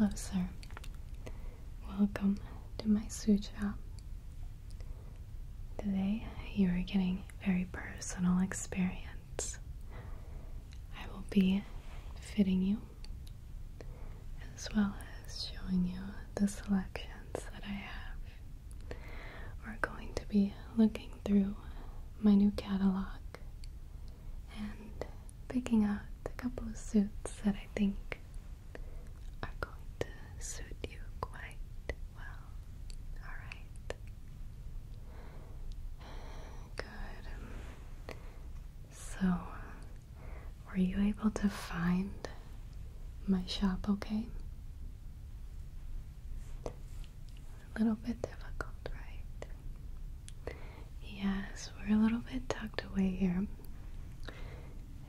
Hello, sir. Welcome to my sutra. Today you are getting very personal experience. I will be fitting you as well as showing you the selections that I have. We're going to be looking through my new catalog and picking out a couple of suits that I think are going to suit you quite well. Alright. Good. So, were you able to find my shop okay? A little bit difficult, right? Yes, we're a little bit tucked away here.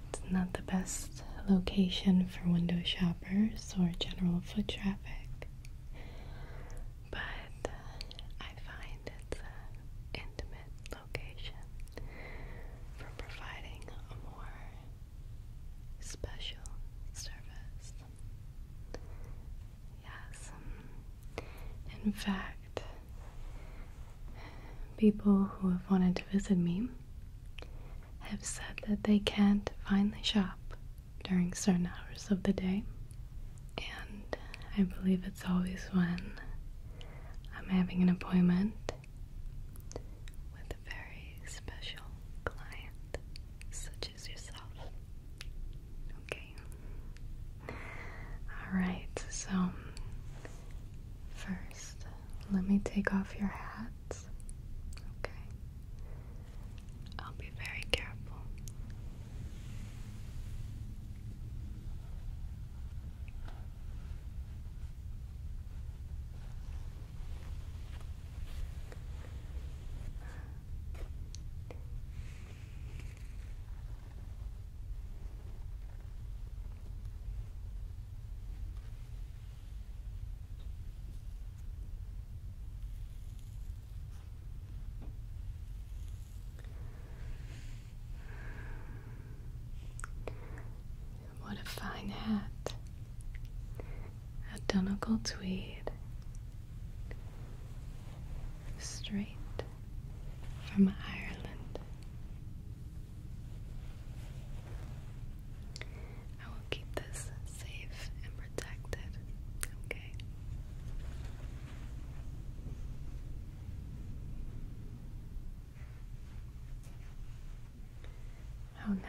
It's not the best location for window shoppers or general foot traffic, but uh, I find it's an intimate location for providing a more special service. Yes, in fact people who have wanted to visit me have said that they can't find the shop during certain hours of the day, and I believe it's always when I'm having an appointment with a very special client, such as yourself. Okay, Alright, so first, let me take off your hat. Okay. I'll be very careful. What a fine hat. A Donegal tweed. Straight from Ireland. I will keep this safe and protected, okay? How nice.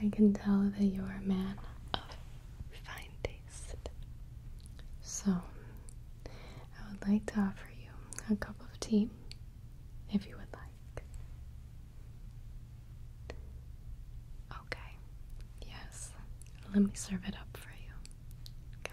I can tell that you are a man of refined taste. So, I would like to offer you a cup of tea if you would like. Okay, yes, let me serve it up for you. Okay.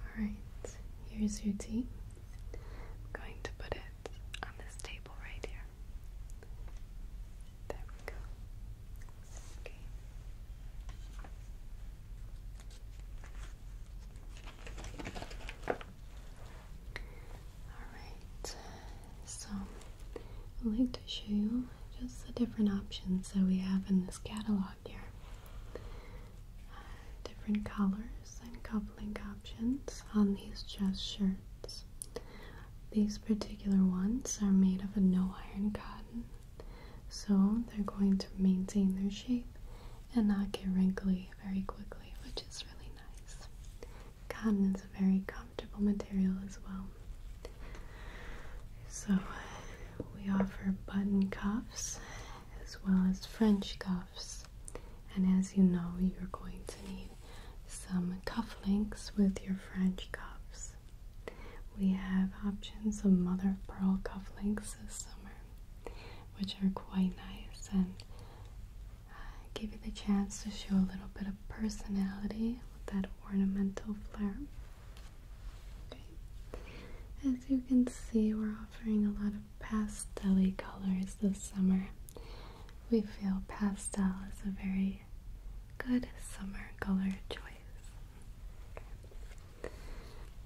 All right, here's your tea i going to put it on this table right here. There we go. Okay. Alright, so I'd like to show you just the different options that we have in this catalog here different colors and coupling options on these chest shirts. These particular ones are made of a no iron cotton, so they're going to maintain their shape and not get wrinkly very quickly, which is really nice. Cotton is a very comfortable material as well. So, we offer button cuffs as well as French cuffs. And as you know, you're going to need some cufflinks with your French cuffs. We have options of mother of pearl cufflinks this summer, which are quite nice and uh, give you the chance to show a little bit of personality with that ornamental flair. As you can see, we're offering a lot of Pastel colors this summer. We feel pastel is a very good summer color choice.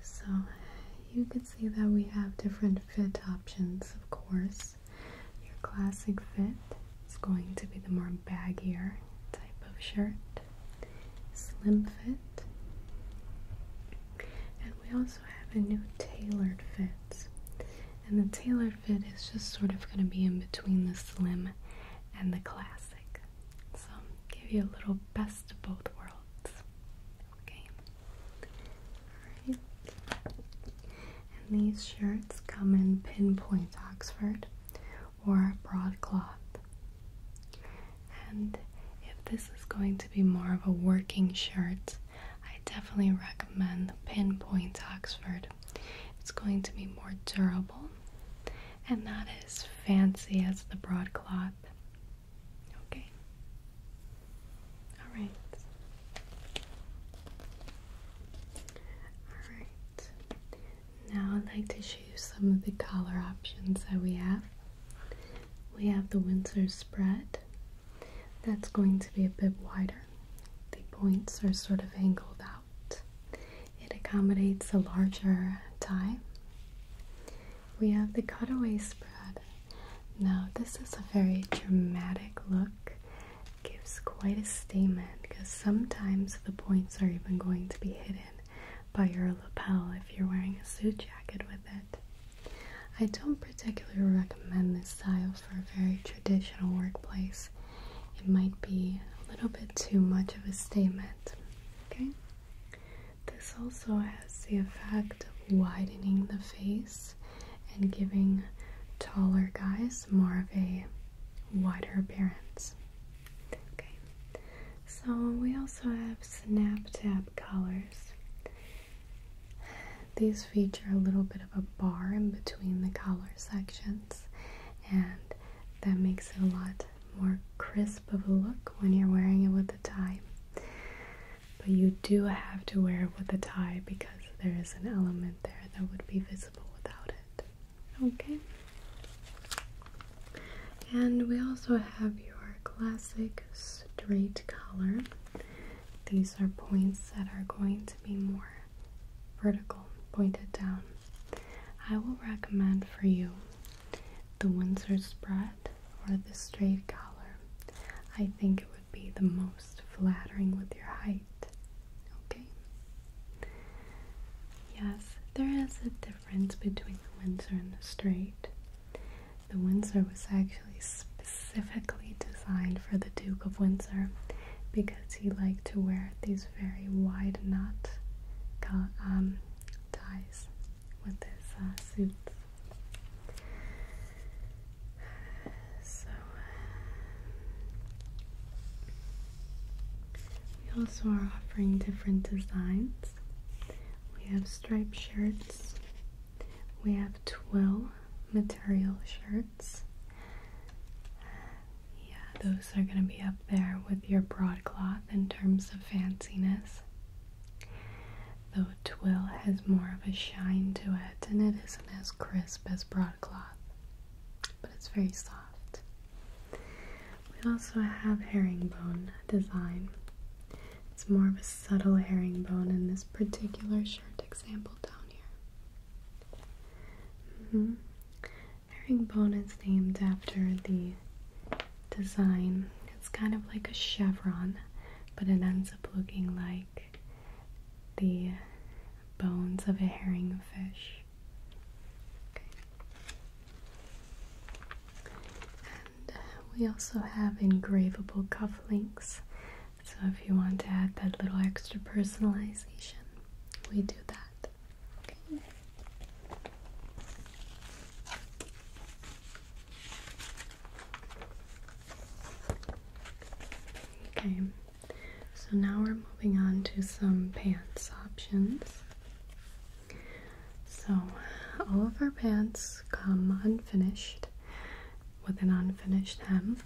So you can see that we have different fit options, of course. Your classic fit is going to be the more baggier type of shirt, slim fit, and we also have a new tailored fit and the tailored fit is just sort of going to be in between the slim and the classic. So, give you a little best of both worlds. Okay. Alright. And these shirts come in pinpoint Oxford or broadcloth. And if this is going to be more of a working shirt, I definitely recommend the Pinpoint Oxford. It's going to be more durable and not as fancy as the broadcloth. Okay. All right. All right. Now I'd like to show you some of the collar options that we have. We have the Windsor spread, that's going to be a bit wider. The points are sort of angled out. It accommodates a larger tie. We have the cutaway spread. Now, this is a very dramatic look. Gives quite a statement because sometimes the points are even going to be hidden by your lapel if you're wearing a suit jacket with it. I don't particularly recommend this style for a very traditional workplace. It might be a little bit too much of a statement. Okay? This also has the effect of widening the face and giving taller guys more of a wider appearance. Okay, so we also have snap tap collars. These feature a little bit of a bar in between the collar sections, and that makes it a lot more crisp of a look when you're wearing it with a tie. But you do have to wear it with a tie because there is an element there that would be visible without it. Okay? And we also have your classic straight collar. These are points that are going to be more vertical, pointed down. I will recommend for you the Windsor spread or the straight collar. I think it would be the most flattering with your height. Okay? Yes, there is a difference between the Windsor and the straight. The Windsor was actually specifically designed for the Duke of Windsor because he liked to wear these very wide knot um, ties with his uh, suits. So we also are offering different designs. We have striped shirts, we have twill material shirts. Yeah, those are going to be up there with your broadcloth in terms of fanciness. Though twill has more of a shine to it and it isn't as crisp as broadcloth, but it's very soft. We also have herringbone design. It's more of a subtle herringbone in this particular shirt example down here. Mm Herringbone is named after the design. It's kind of like a chevron, but it ends up looking like the bones of a herringfish. Okay. Uh, we also have engravable cufflinks. So if you want to add that little extra personalization, we do that. Okay. Okay, so now we're moving on to some pants options. So, all of our pants come unfinished, with an unfinished hem.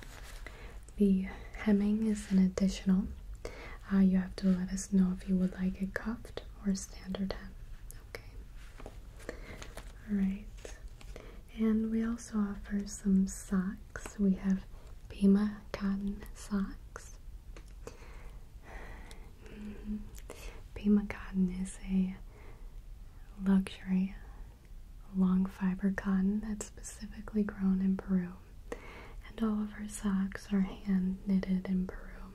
The hemming is an additional. Uh, you have to let us know if you would like it cuffed or standard hem. Okay. Alright. And we also offer some socks. We have Pima cotton socks. Mm-hmm. Pima cotton is a luxury long fiber cotton that's specifically grown in Peru. And all of our socks are hand knitted in Peru.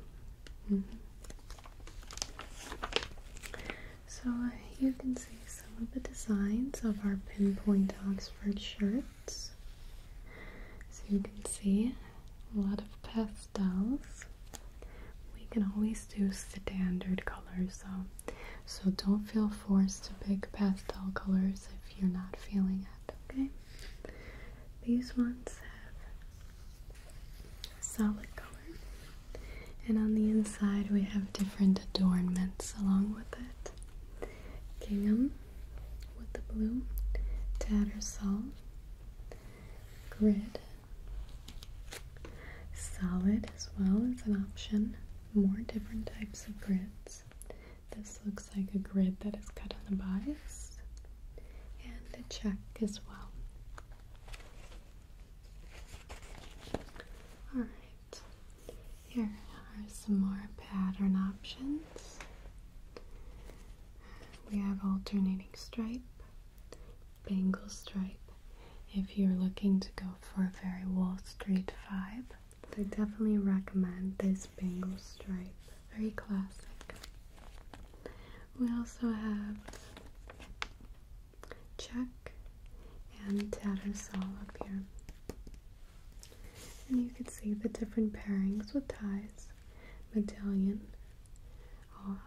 Mm-hmm. So uh, you can see some of the designs of our pinpoint Oxford shirts. So you can see a lot of pastels. We can always do two standard colors though. So don't feel forced to pick pastel colors if you're not feeling it, okay? These ones have solid color. And on the inside we have different adornments along with it. Gingham with the blue, tattersall, grid, Solid as well as an option. More different types of grids. This looks like a grid that is cut on the bias. And a check as well. Alright, here are some more pattern options. We have alternating stripe, bangle stripe, if you're looking to go for a very Wall Street vibe. I definitely recommend this bangle stripe. Very classic. We also have check and tattersall up here. And you can see the different pairings with ties, medallion, um,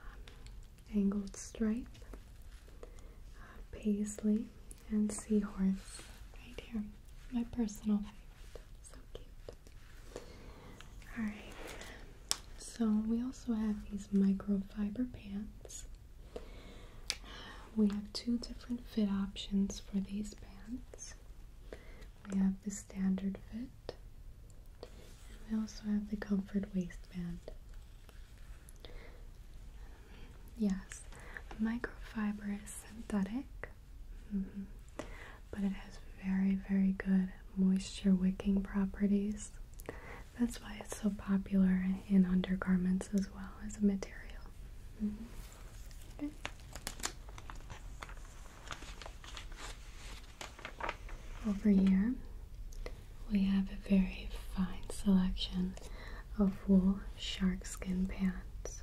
angled stripe, uh, paisley, and seahorse right here. My personal favorite. So cute. Alright, so we also have these microfiber pants. We have two different fit options for these pants. We have the standard fit, and we also have the comfort waistband. Yes, microfiber is synthetic, mm-hmm, but it has very, very good moisture wicking properties. That's why it's so popular in undergarments as well as a material. Mm-hmm. Over here, we have a very fine selection of wool sharkskin pants.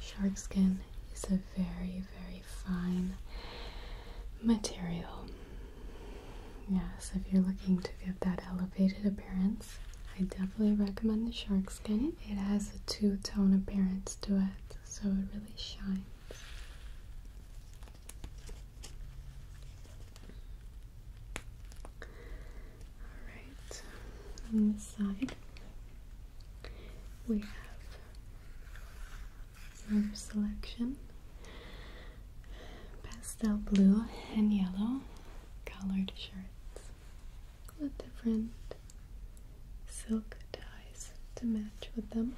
Sharkskin is a very, very fine material. Yes, if you're looking to get that elevated appearance, I definitely recommend the sharkskin. It has a two-tone appearance to it, so it really shines. Alright, on this side we have our selection pastel blue and yellow colored shirts with different silk ties to match with them.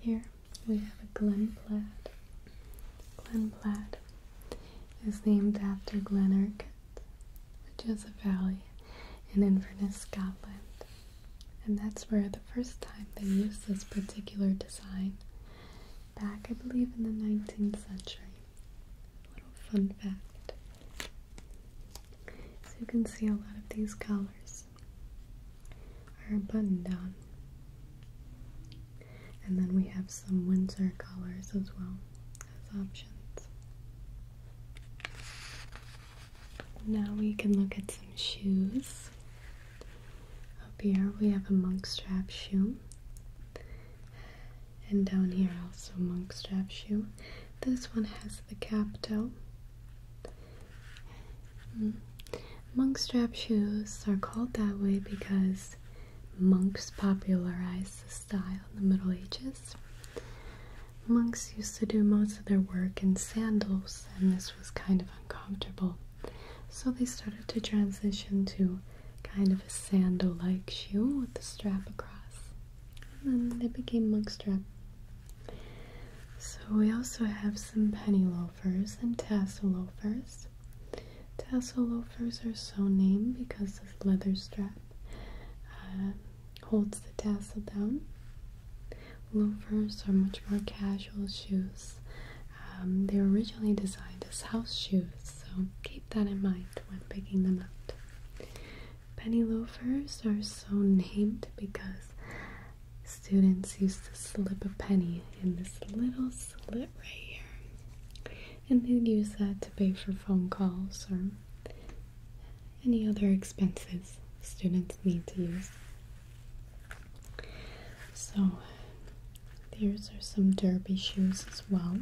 Here we have a Glen Plaid. Glen Plaid is named after Glen which is a valley in Inverness, Scotland. And that's where the first time they used this particular design, back I believe in the 19th century. A little fun fact. So you can see a lot of these colors our button down. And then we have some winter colors as well as options. Now we can look at some shoes. Up here we have a monk strap shoe. And down here also monk strap shoe. This one has the cap toe. Mm. Monk strap shoes are called that way because monks popularized the style in the Middle Ages. Monks used to do most of their work in sandals, and this was kind of uncomfortable. So they started to transition to kind of a sandal like shoe with the strap across. And then they became monk strap so we also have some penny loafers and tassel loafers. Tassel loafers are so named because this leather strap uh, holds the tassel down. Loafers are much more casual shoes. Um, they were originally designed as house shoes, so keep that in mind when picking them out. Penny loafers are so named because students used to slip a penny in this little slit right here. And they use that to pay for phone calls or any other expenses students need to use. So, these are some derby shoes as well.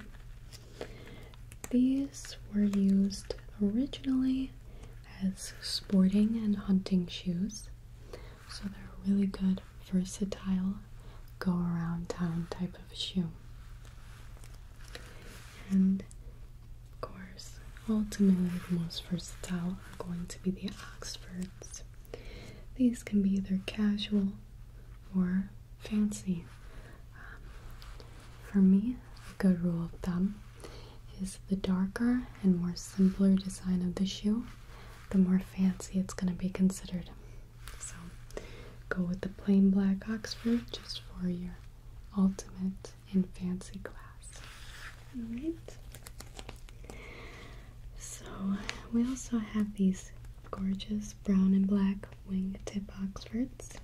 These were used originally as sporting and hunting shoes, so they're really good, versatile, go around town type of shoe. And of course, ultimately, the most versatile are going to be the Oxfords. These can be either casual or fancy. Um, for me, a good rule of thumb is the darker and more simpler design of the shoe, the more fancy it's going to be considered. So go with the plain black Oxford just for your ultimate in fancy class. Alright. So we also have these gorgeous brown and black wingtip Oxfords.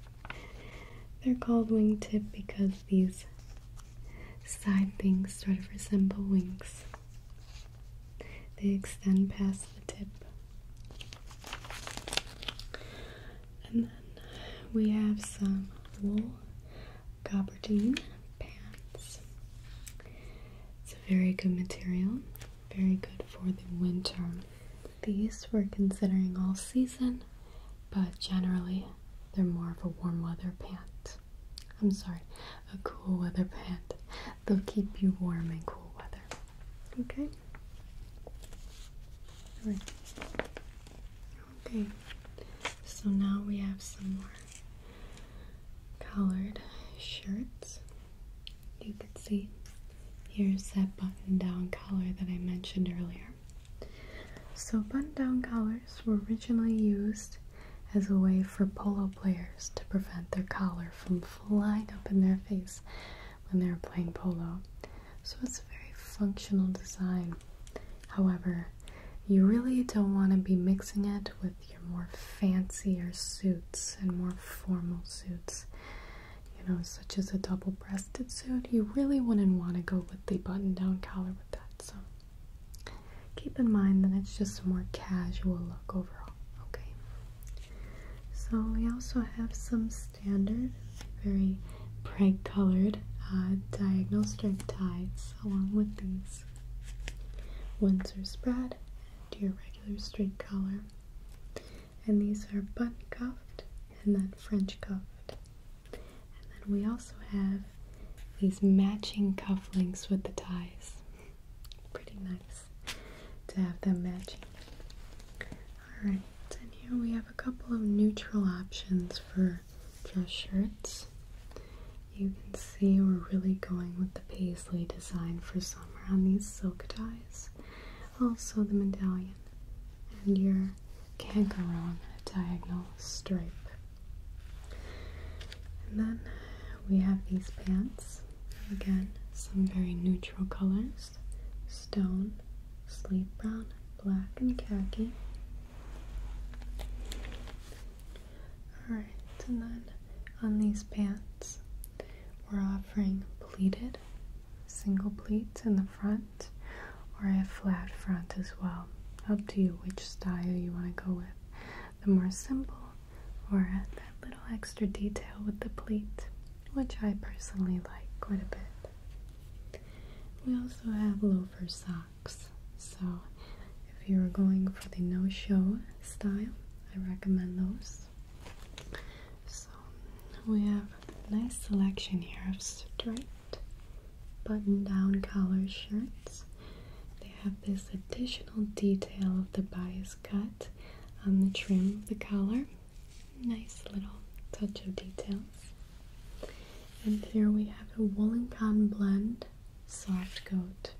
They're called wingtip because these side things sort of resemble wings. They extend past the tip. And then we have some wool gabardine pants. It's a very good material, very good for the winter. These we're considering all season, but generally they're more of a warm weather pants. I'm sorry, a cool weather pant. They'll keep you warm in cool weather. Okay? Okay. So now we have some more colored shirts. You can see here's that button down collar that I mentioned earlier. So, button down collars were originally used as a way for polo players to prevent their collar from flying up in their face when they're playing polo. So it's a very functional design. However, you really don't want to be mixing it with your more fancier suits and more formal suits. You know, such as a double breasted suit, you really wouldn't want to go with the button down collar with that. So Keep in mind that it's just a more casual look overall, okay? So we also have some standard, very bright colored uh, diagonal stripe ties along with these Windsor spread and your regular straight collar. And these are button cuffed and then French cuffed. And then we also have these matching cufflinks with the ties. Pretty nice to have them matching. Alright, and here we have a couple of neutral options for dress shirts. You can see we're really going with the paisley design for summer on these silk ties. Also the medallion and your kangaroo on a diagonal stripe. And then we have these pants. Again, some very neutral colors. Stone, sleep brown, black, and khaki. Alright, and then on these pants, we're offering pleated, single pleats in the front, or a flat front as well. Up to you which style you want to go with the more simple or that little extra detail with the pleat, which I personally like quite a bit. We also have loafer socks, so if you are going for the no-show style, I recommend those. So we have a nice selection here of straight, button-down collar shirts we have this additional detail of the bias cut on the trim of the collar. Nice little touch of details. And here we have a wool and cotton blend soft coat.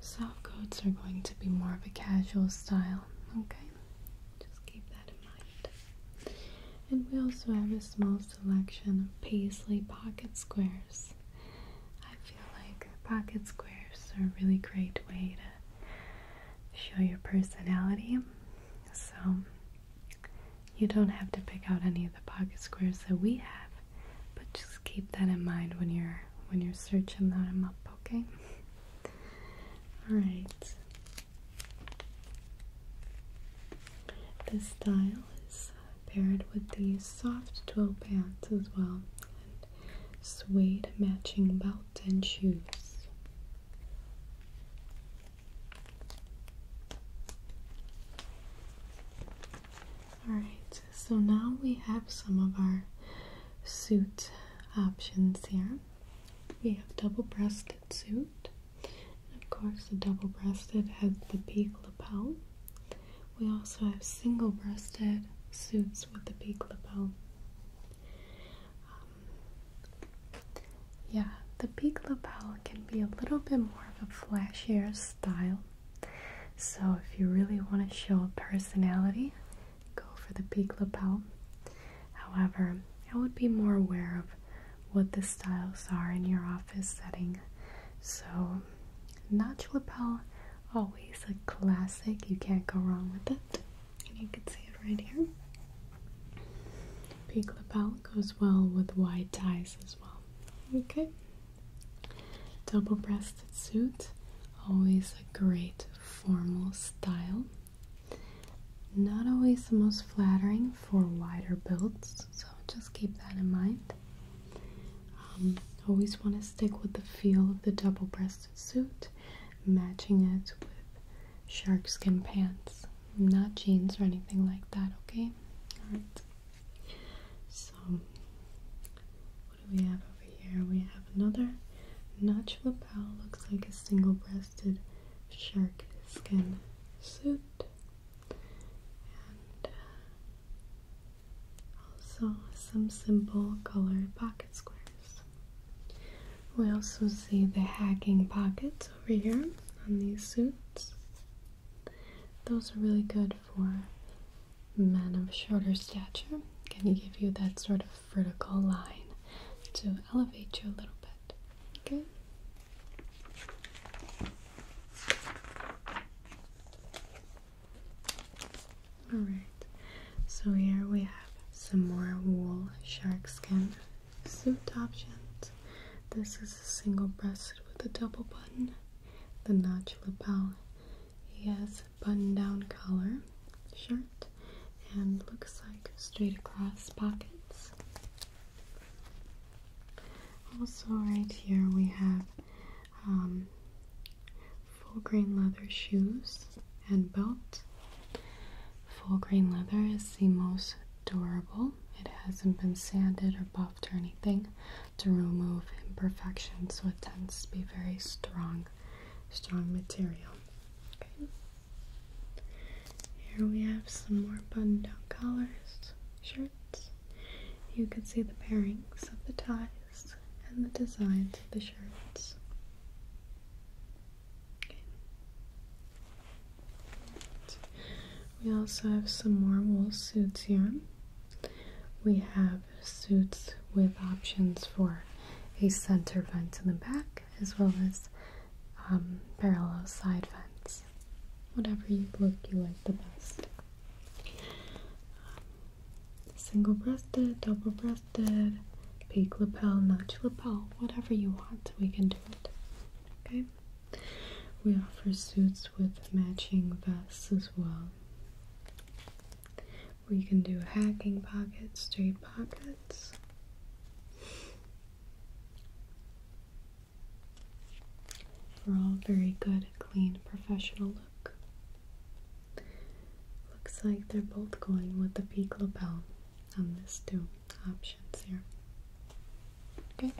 Soft coats are going to be more of a casual style, okay? Just keep that in mind. And we also have a small selection of paisley pocket squares. I feel like pocket squares are a really great way to show your personality. So you don't have to pick out any of the pocket squares that we have, but just keep that in mind when you're when you're searching them up, okay? All right. This style paired with these soft twill pants as well and suede matching belt and shoes. Alright, so now we have some of our suit options here. We have double-breasted suit. Of course, the double-breasted has the peak lapel. We also have single breasted suits with the peak lapel. Um, yeah, the peak lapel can be a little bit more of a flashier style. So if you really want to show personality, go for the peak lapel. However, I would be more aware of what the styles are in your office setting. So Notch lapel, always a classic. You can't go wrong with it. And you can see it right here. Pink lapel goes well with wide ties as well. Okay. Double breasted suit, always a great formal style. Not always the most flattering for wider builds, so just keep that in mind. Um, always want to stick with the feel of the double-breasted suit, matching it with sharkskin pants, not jeans or anything like that. Okay, all right. So, what do we have over here? We have another notch lapel. Looks like a single-breasted shark skin suit. Uh, also some simple colored pocket squares. We also see the hacking pockets over here on these suits. Those are really good for men of shorter stature. Can give you that sort of vertical line to elevate you a little bit. Okay. Alright, so here we have some more wool shark skin suit options. This is a single breasted with a double button, the notch lapel. yes, has button down collar shirt and looks like straight across pockets. Also, right here we have um, full grain leather shoes and belt. Full grain leather is the most durable. It hasn't been sanded or buffed or anything to remove imperfections, so it tends to be very strong, strong material. Here we have some more button-down collars, shirts. You can see the pairings of the ties and the designs of the shirts. We also have some more wool suits here. We have suits with options for a center vent in the back as well as um, parallel side vents. Whatever you look you like the best. Single breasted, double breasted, peak lapel, notch lapel, whatever you want, we can do it. Okay? We offer suits with matching vests as well. We can do hacking pockets, straight pockets. We're all very good, clean, professional Looks like they're both going with the peak lapel on these two options here. Okay.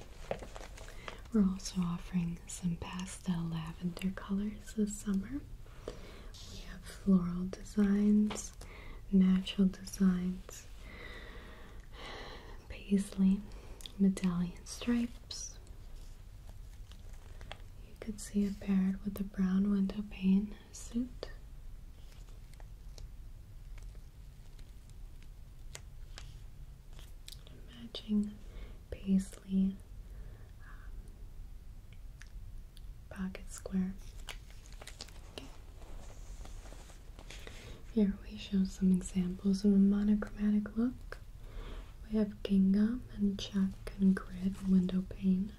We're also offering some pastel lavender colors this summer. We have floral designs, natural designs, paisley, medallion stripe, you could see it paired with a brown window pane suit. Matching paisley um, pocket square. Here we show some examples of a monochromatic look. We have gingham and check and grid and window pane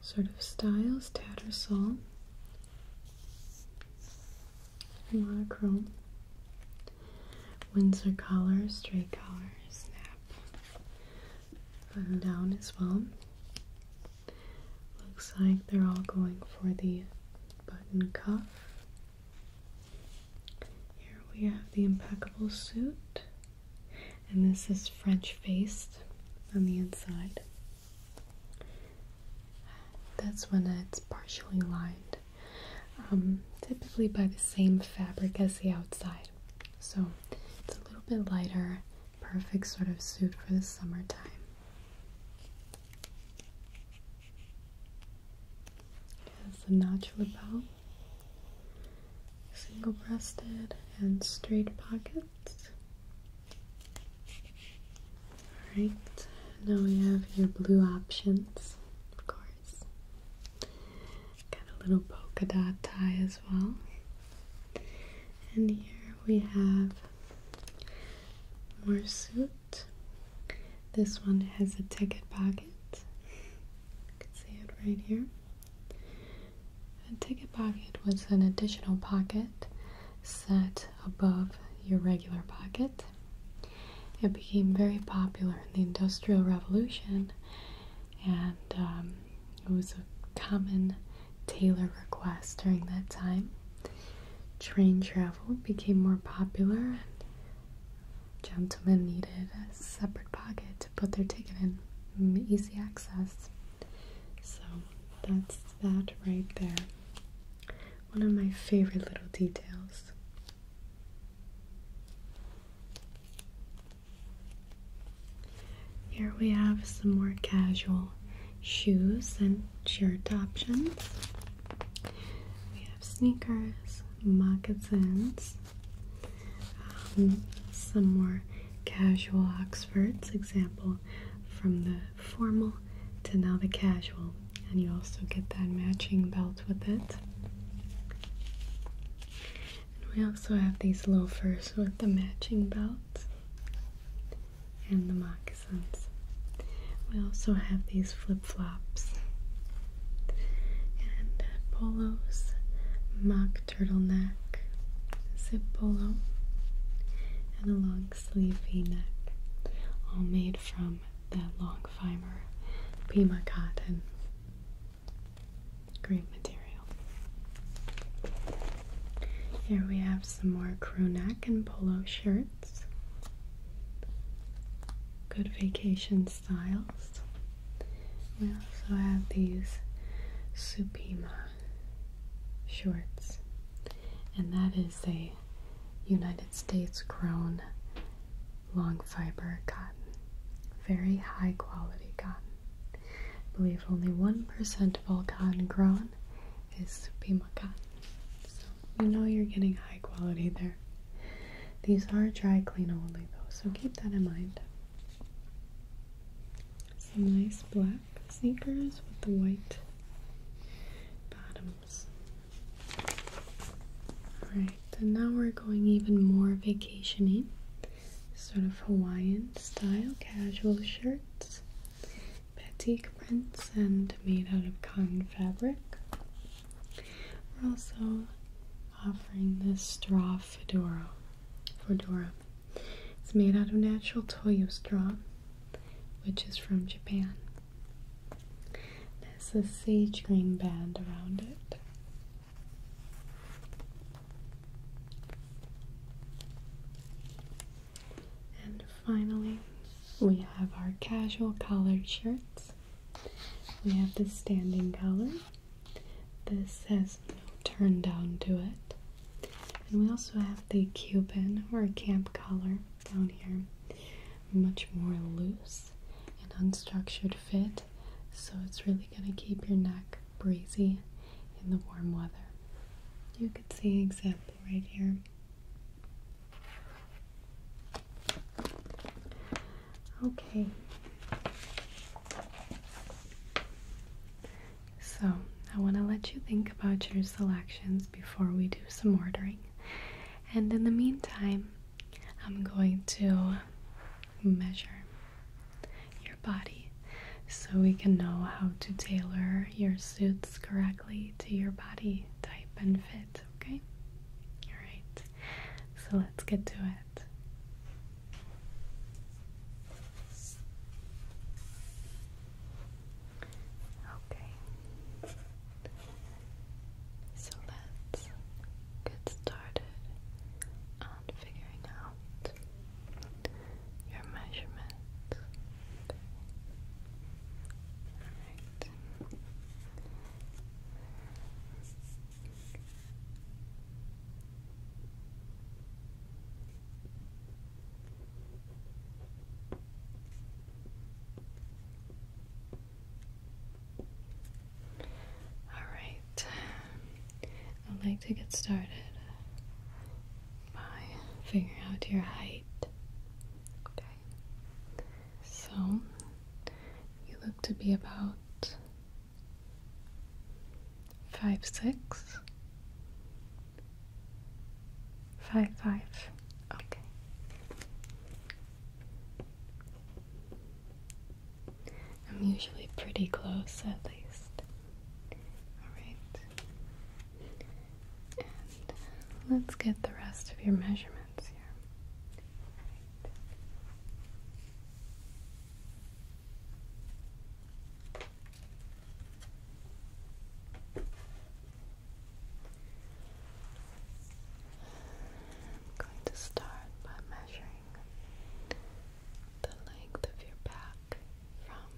sort of styles, tattersall, monochrome, Windsor collar, straight collar, snap, button down as well. Looks like they're all going for the button cuff. Here we have the impeccable suit, and this is French faced on the inside. That's when it's partially lined, um, typically by the same fabric as the outside. So it's a little bit lighter, perfect sort of suit for the summertime. Has a notch lapel single-breasted and straight pockets. Alright, now we have your blue options, of course. Got a little polka dot tie as well. And here we have more suit. This one has a ticket pocket. You can see it right here. A ticket pocket was an additional pocket set above your regular pocket. It became very popular in the Industrial Revolution and um, it was a common tailor request during that time. Train travel became more popular, and gentlemen needed a separate pocket to put their ticket in. Mm, easy access. So that's that right there. One of my favorite little details. Here we have some more casual shoes and shirt options. We have sneakers, moccasins, um, some more casual Oxfords, example from the formal to now the casual, and you also get that matching belt with it. we also have these loafers with the matching belt and the moccasins. We also have these flip flops and uh, polos, mock turtleneck, zip polo, and a long sleeve v-neck, all made from that long fiber Pima cotton. Great material. Here we have some more crew neck and polo shirts. Good vacations styles. We also have these Supima shorts, and that is a United States grown long fiber cotton. Very high quality cotton. I believe only 1% of all cotton grown is Supima cotton. So you know you're getting high quality there. These are dry clean only though, so keep that in mind. Some nice black sneakers with the white bottoms. Alright, and now we're going even more vacationing. Sort of Hawaiian style casual shirts, batik prints, and made out of cotton fabric. We're also offering this straw fedora. Fedora. It's made out of natural toyo straw, which is from Japan. There's a sage green band around it. And finally, we have our casual collared shirts. We have the standing collar, this has no turn down to it. And we also have the Cuban or camp collar down here. Much more loose and unstructured fit, so it's really going to keep your neck breezy in the warm weather. You could see an example right here. Okay. So, I want to let you think about your selections before we do some ordering. And in the meantime, I'm going to measure your body so we can know how to tailor your suits correctly to your body type and fit, okay? All right so let's get to it. Okay. So let's get started on figuring out your measurements. Okay. All right, I'd like to get started by figuring out your height. Okay, so you look to be about Five six. five. okay I'm usually pretty close at least alright uh, let's get the rest of your measurements here I'm going to start by measuring the length of your back from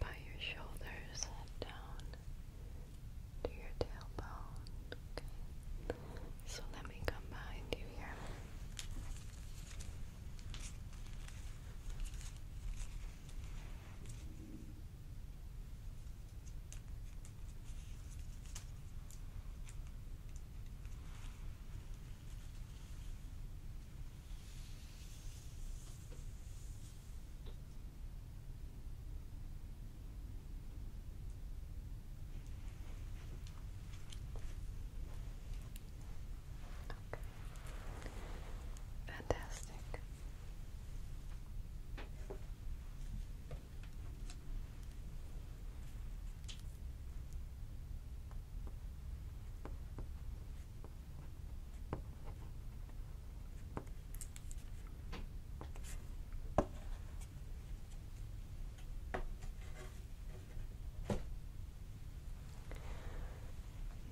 by your shoulders down to your tailbone. So let me come behind you here. Okay. Fantastic.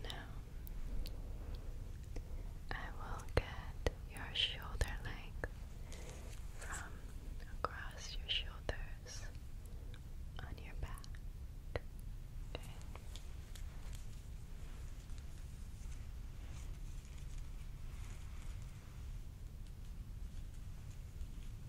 Now, I will get your shoulder length from across your shoulders on your back.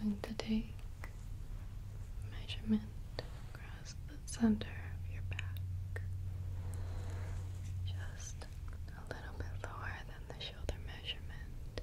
I'm going to take measurement across the center of your back. Just a little bit lower than the shoulder measurement.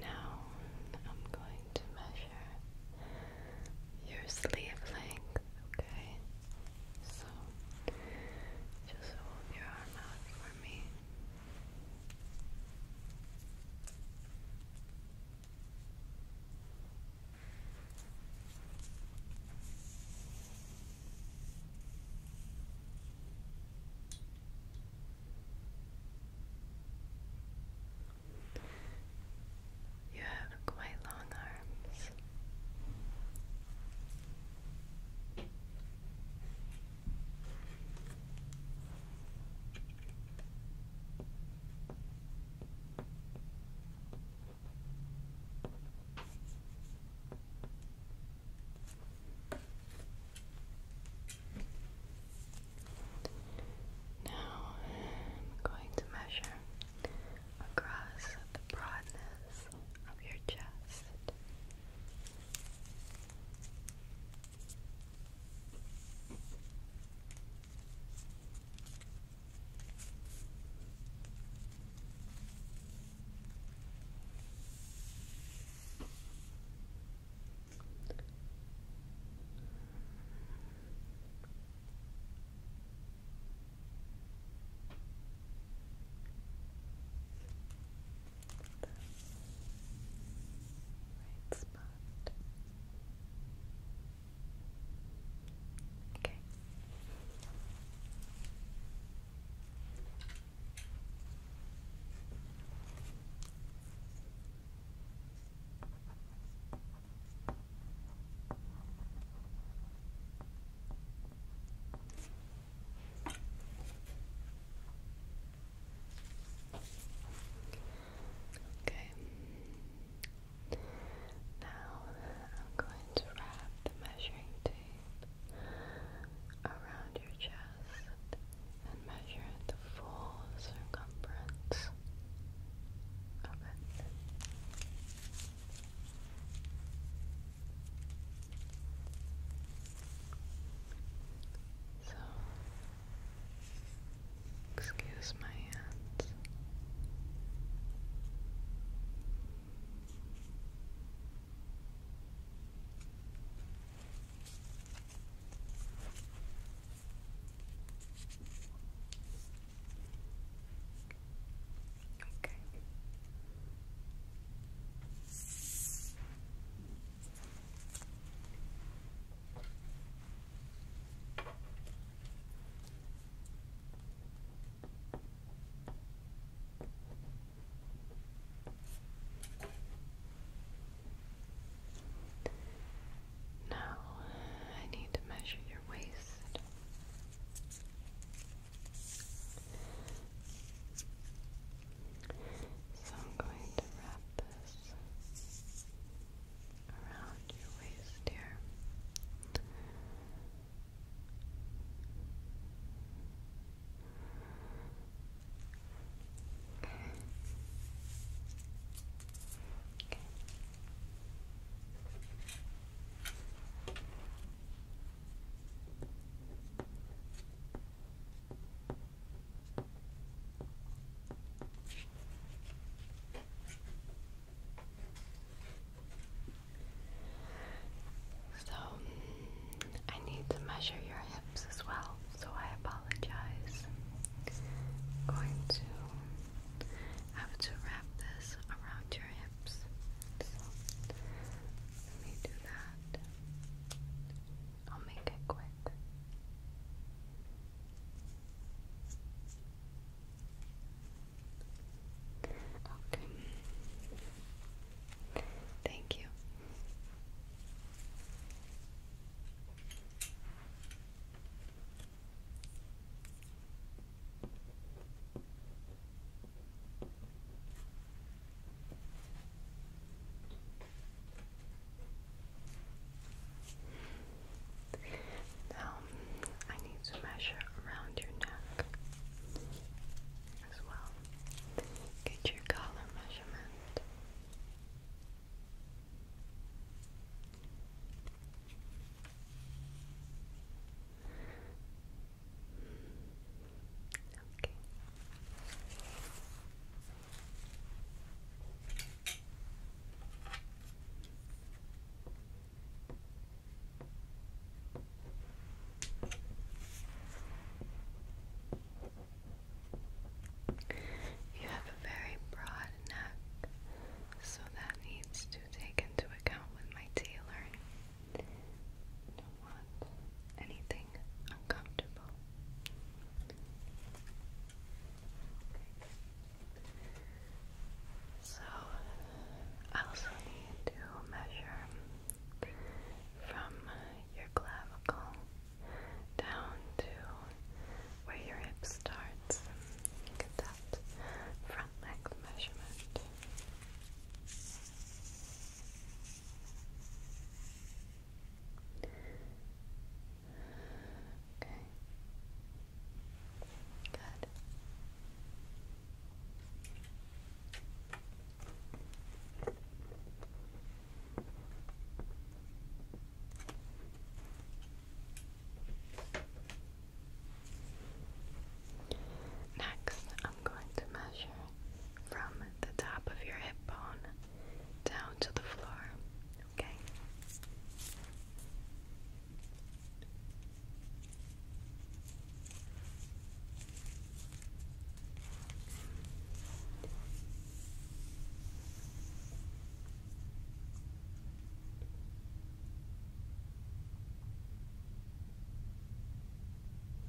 Now I'm going to measure your sleeve length, okay? So just hold your arm out for me. You have quite long arms. Now I'm going to measure across the broadness of your chest right spot. Okay. Okay. Now I'm going to wrap the measuring tape around your chest and measure the full circumference of so, excuse my hands. Okay. Now I need to measure your waist. So I'm going to wrap this around your waist here. Okay. Okay. So, I need to measure your hips as well, so I apologize. going to have to wrap this around your hips. Let me do that. I'll make it quick. Okay. Thank you. Now, I need to measure around your neck as well. Get your collar measurement. Okay. You have a very broad neck, so that needs to take into account with my tailoring don't want anything uncomfortable. So, I also need to measure from your clavicle down to where your hip starts. that front leg measurement. Okay. Good. Next, I'm going to measure from the top of your hip bone down to the floor, okay?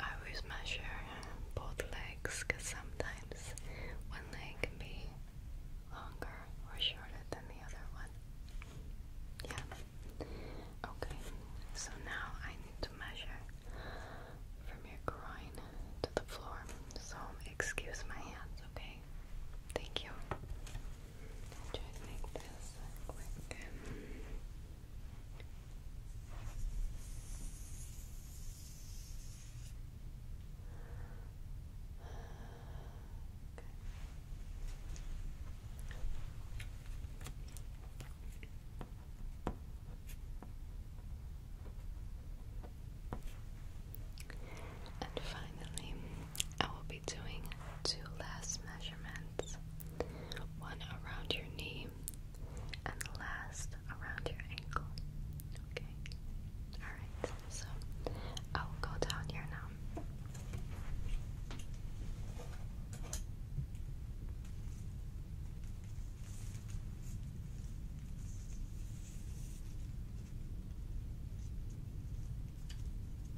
I always measure uh, both legs because sometimes one leg can be longer or shorter than the other one. Yeah. Okay, so now I need to measure from your groin to the floor. So excuse my hands, okay? Thank you. i make this quick. Okay. And finally, I will be doing two last measurements one around your knee, and the last around your ankle. Okay? Alright, so I'll go down here now.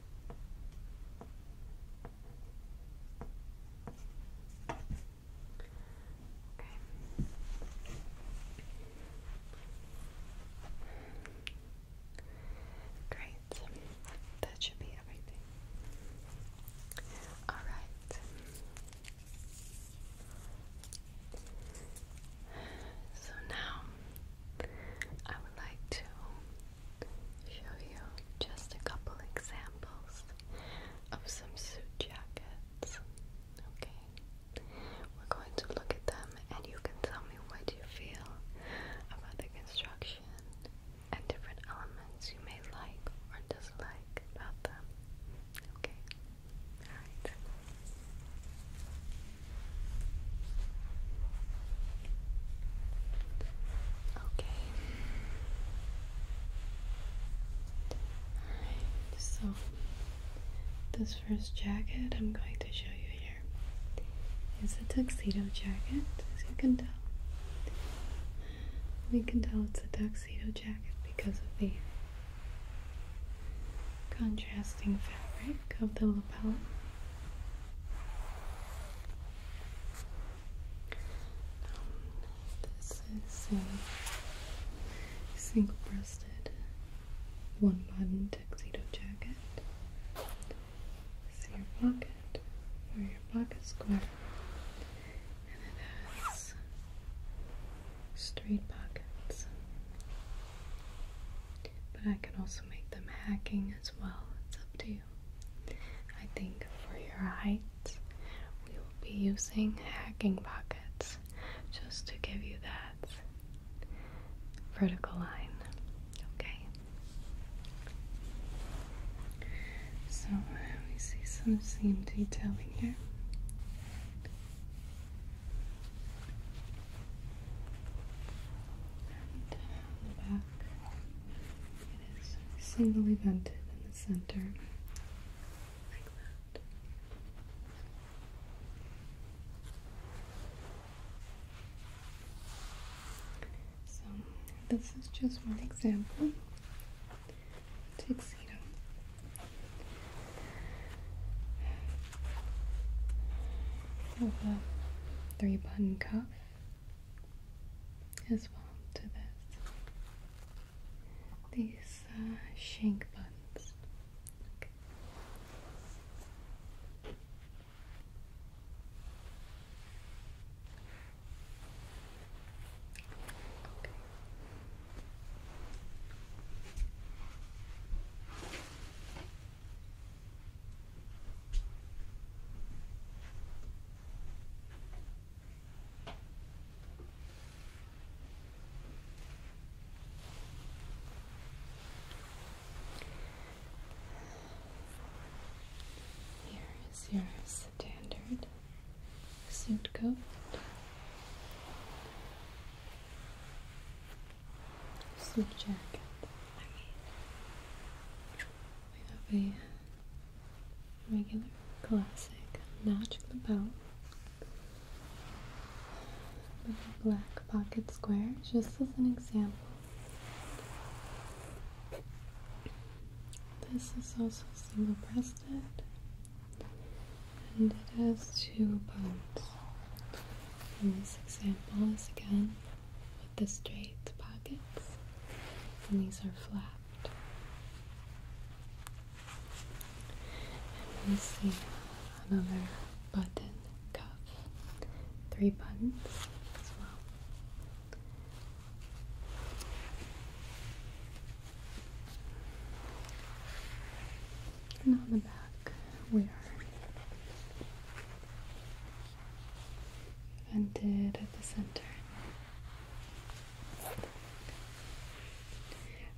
Okay. Great. That should be everything. All right. So now I would like to show you just a couple examples of some suit jackets. Okay, we're going to look at them and you can tell me what you feel about the construction and different elements you may like or dislike about them. Okay, alright. Okay. Alright, so this first jacket I'm going to show you here is a tuxedo jacket, as you can tell. We can tell it's a tuxedo jacket because of the contrasting fabric of the lapel this is a single-breasted one-button tuxedo jacket. See your pocket, or your pocket square, and it has straight pockets but I can also make them hacking as well. It's up to you. I think for your height, we will be using hacking pockets just to give you that vertical line. Okay. So we see some seam detailing here. And the back, it is singly vented in the center, like that. So, this is just one example. Tuxedo. Of uh, three button cuff as well to this. These uh, shank buttons. Here is your standard suit coat sleep jacket. I have a regular classic notch in the belt with a black pocket square, just as an example. This is also single breasted and it has two buttons. And this example is again the straight pockets, and these are flapped. And we see another button cuff, three buttons as well. And on the back, we are vented at the center.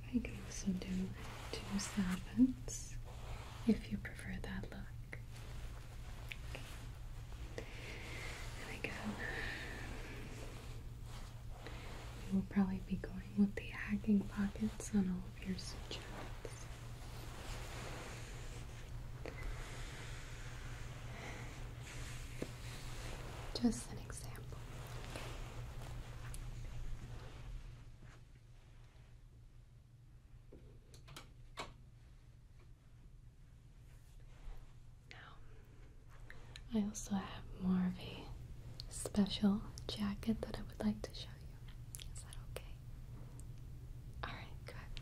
I can also do two solvents if you prefer that look. Okay. There we will probably be going with the hugging pockets on all of your suggestions. Just an example. Now, I also have more of a special jacket that I would like to show you. Is that okay? Okay. All right, good.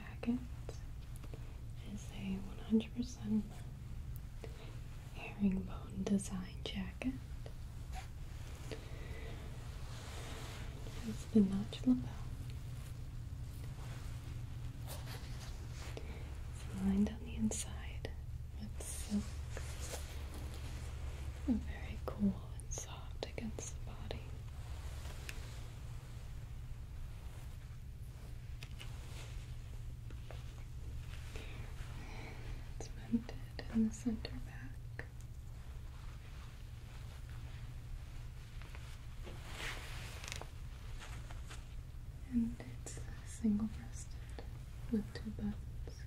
jacket is a 100% herringbone design jacket. It the notch lapel. It's lined on the inside with silk. Very cool and soft against the body. It's mounted in the center back. And it's single breasted with two buttons,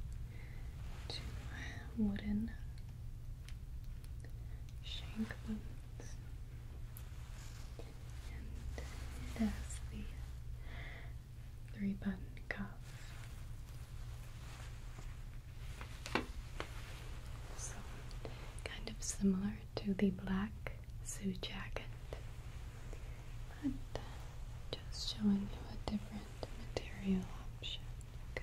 two wooden shank buttons and it has the three button cuff. So, kind of similar to the black suit jacket, but uh, just showing you a different material option. Okay.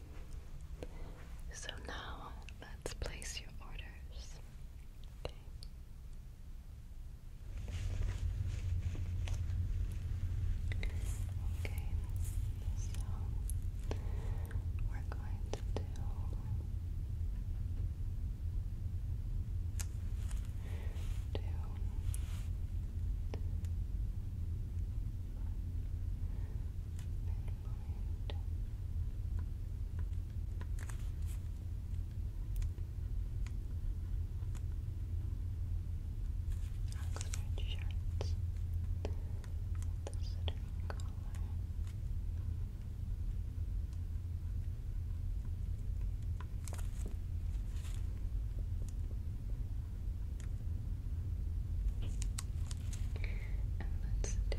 so now let's place your orders. Okay. Okay. So we're going to do point. Oxford shirts with a cinnamon collar. And let's do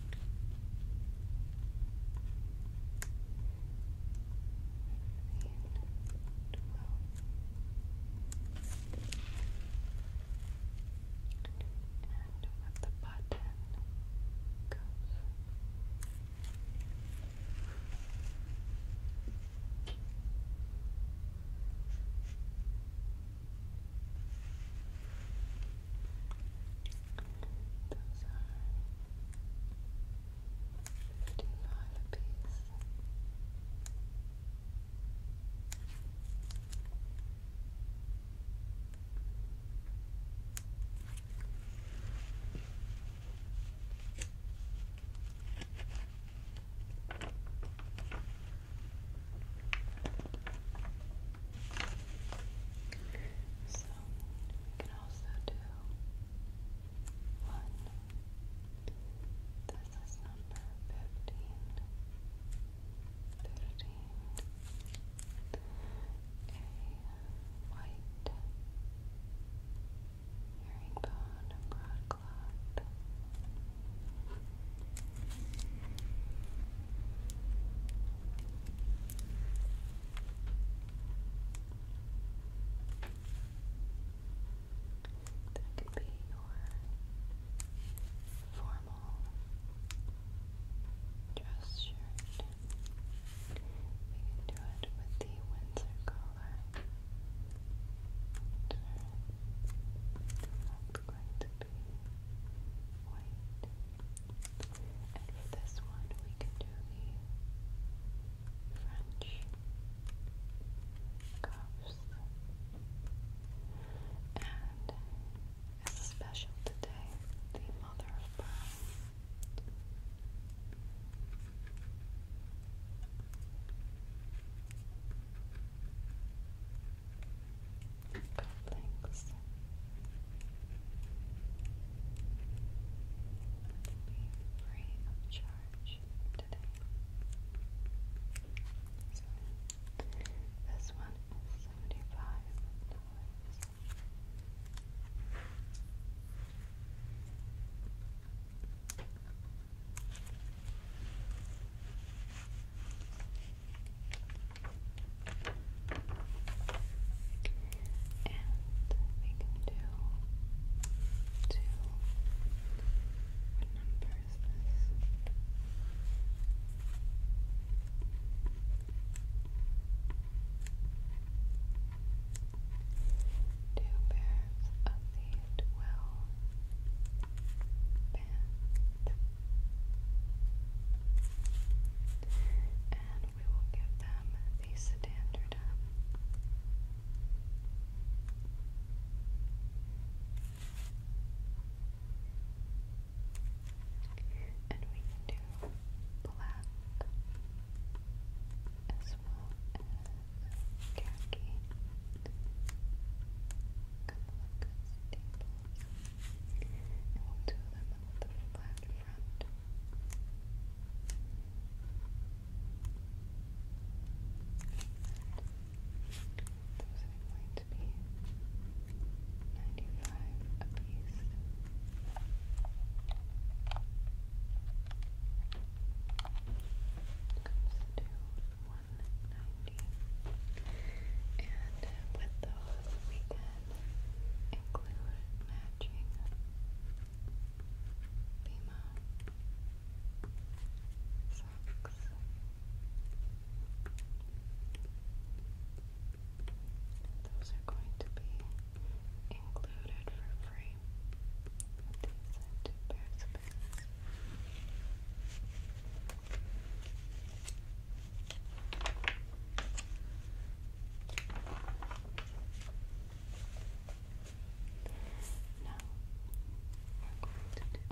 and with the button goes Twelve, those are fifty-five apiece. So you can also do one. This is number fifteen. Thirteen. A white herringbone broadcloth. That could be your formal dress shirt. We can do it with the Windsor collar. Windsor. going to be white. And for this one, we can do the French cuffs. And as a special today, the mother of pearl cufflinks. It'll be free of charge today. this one is seventy-five and we can do two. What number is this? Two pairs of the twelve band and we will give them the standard. Um, and we can do black as well as khaki. A couple of good staples and we'll do them with uh, the flat front. Those are going to be 95 apiece. Comes to 190. And with those, we can glue it matching Bima socks. Those are going to be included for free. These two pairs of pants. Now we're going to do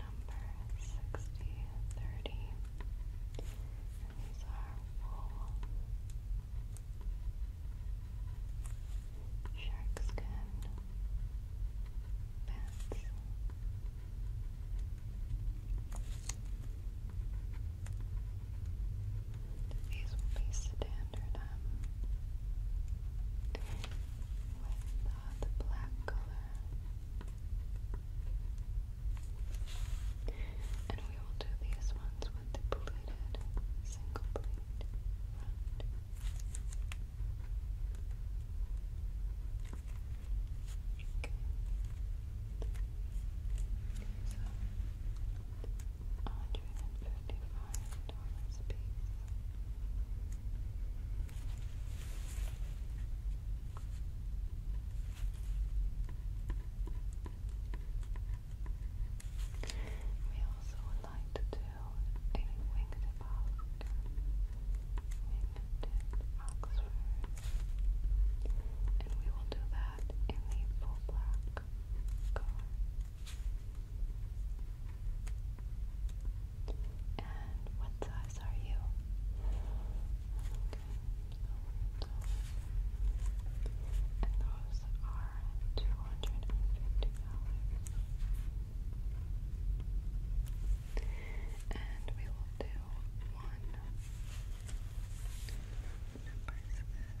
number sixty thirty. And these are wool shark skin pants. These will be standard um, with uh, the black color. And we will do these ones with the pleated, single pleat front dollars a We also would like to do a wingtip Oxford, wingtip Oxford, and we will do that that in the full black color. And what size are you? and those are two hundred and fifty dollars. And we will do one number is 410.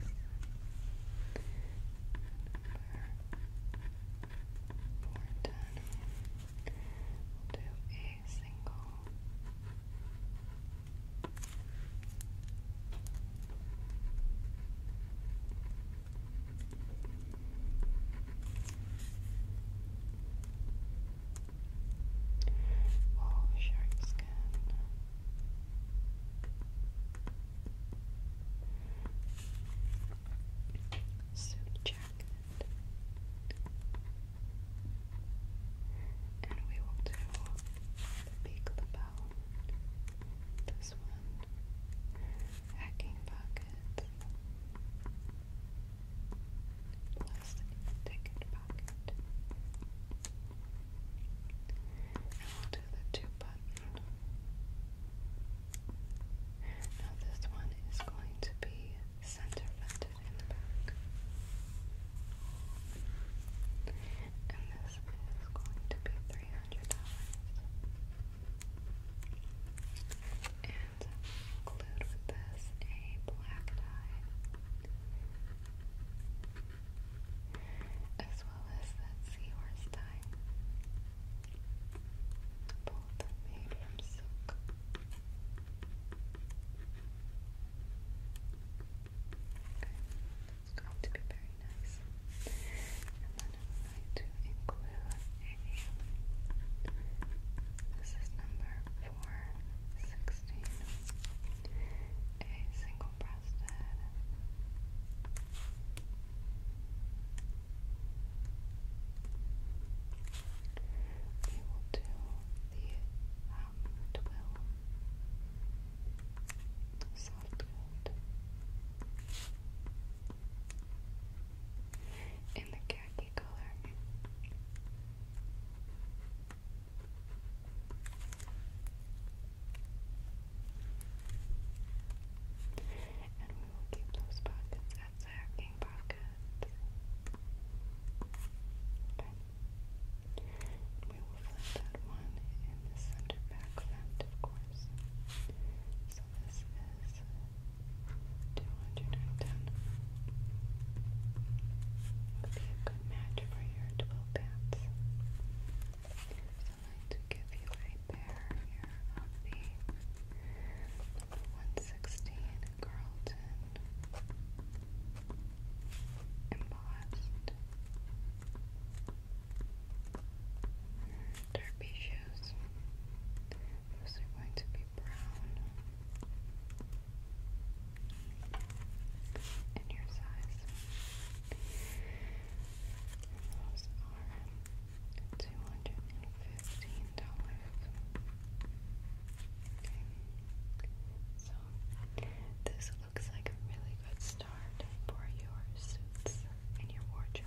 do a single. Oh, shark skin. Suit jacket. And we will do the big lapel. This one. Hacking pocket. Plastic ticket pocket. And we'll do the two button. Now this one is going to be center vented in the back. And this is going to be three hundred dollars. And include with this a black tie as well as that seahorse tie. Both made from silk. Okay, it's going to be very nice. And then I'm going to include a. This is number for sixteen. A single breasted. We will do the um, soft coat. In the khaki color, and we will keep those pockets as sacking pockets. we will flip that one in the center back left, of course. So this is 210. Would be a good match match for your 12 pants. I'm going to give you a pair here of the 116 Carlton embossed derby shoes. Those going to be brown and your size. those are two hundred and fifteen dollars. So this looks like a really good start for your suits and your wardrobe.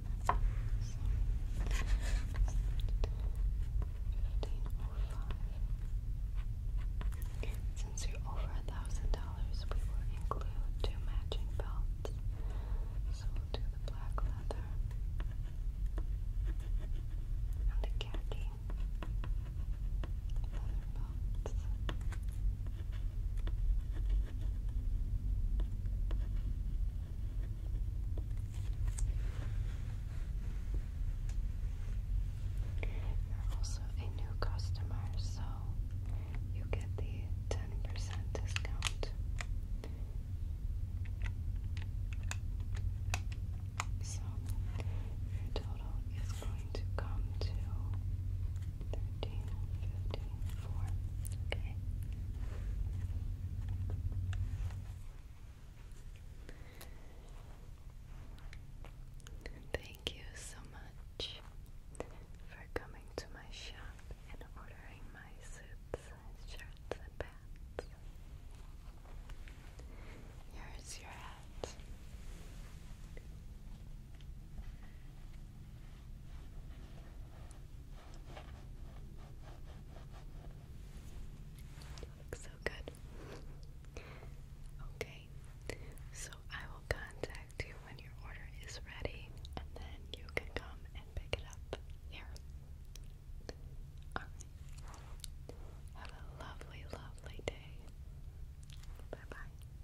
Since you're over a thousand dollars, we will include two matching belts. So do the black leather and the khaki leather belts. You're also a new customer, so you get the ten percent discount. So your total is going to come to thirteen fifty four. Okay. Thank you so much for coming to my shop and ordering my suits, shirts, and pants. Here's your hat so good. Okay, so I will contact you when your order is ready and then you can come and pick it up here. Have a lovely, lovely day. Bye bye.